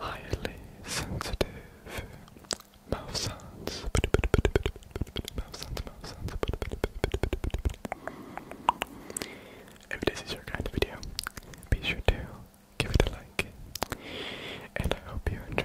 Highly sensitive mouth sounds. If this is your kind of video, be sure to give it a like, and I hope you enjoy.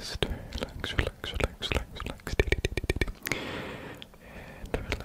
Just relax, relax, relax, relax, relax, and relax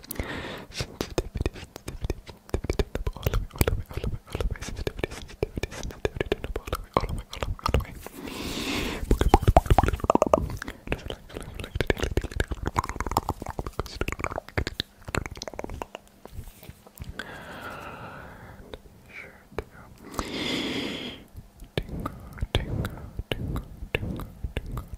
Sensitivity, sensitivity, sensitivity, all the way, all the way, all the way, all the way, sensitivity, sensitivity, sensitivity, turn up all the way, all the way, all the way, all the way. Just relax, relax, relax, relax, relax, relax. Sure to go. Tingle, tingle, tingle, tingle, tingle,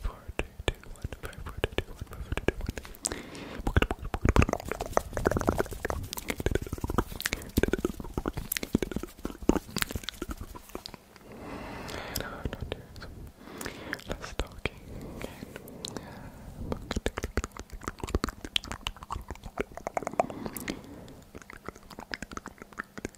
four, three, two, one, five, four, three, two, one, five, four, three, two, one. And I don't do some less talking and uh,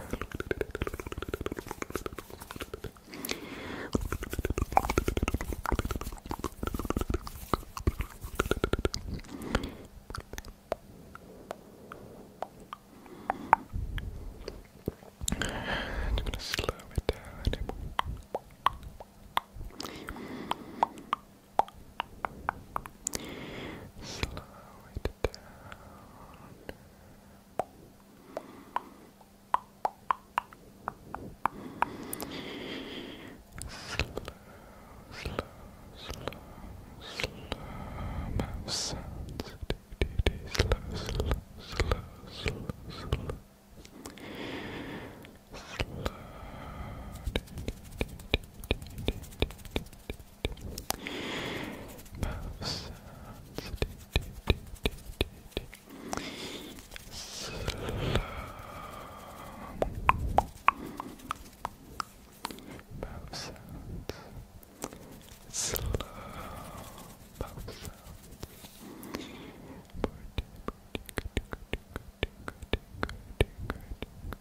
I'm gonna slow it down. Slow it down slow, slow, slow mouth sounds. Do, do, do, slow, slow, slow, slow, slow. Slow. Do, do, do, do, do, do, do, do. Mouth sounds. Do, do, do, do, do. Slow. Mouth sounds. Slow. Mouth sounds. Good, good, good, good, good, good, good, good, good,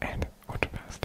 And what's best?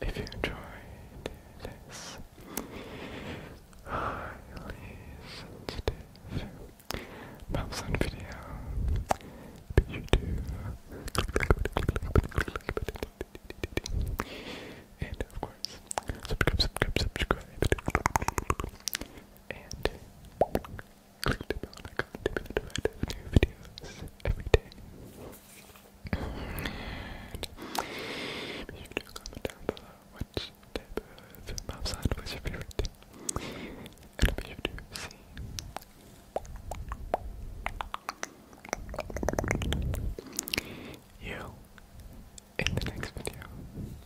If you enjoyed this highly sensitive mouse on video, be sure to and of course, subscribe, subscribe, subscribe, and click the bell to be notified of new videos every day. be sure to comment down below which type of mouth sound was your favorite, and be sure to see. You in the next video.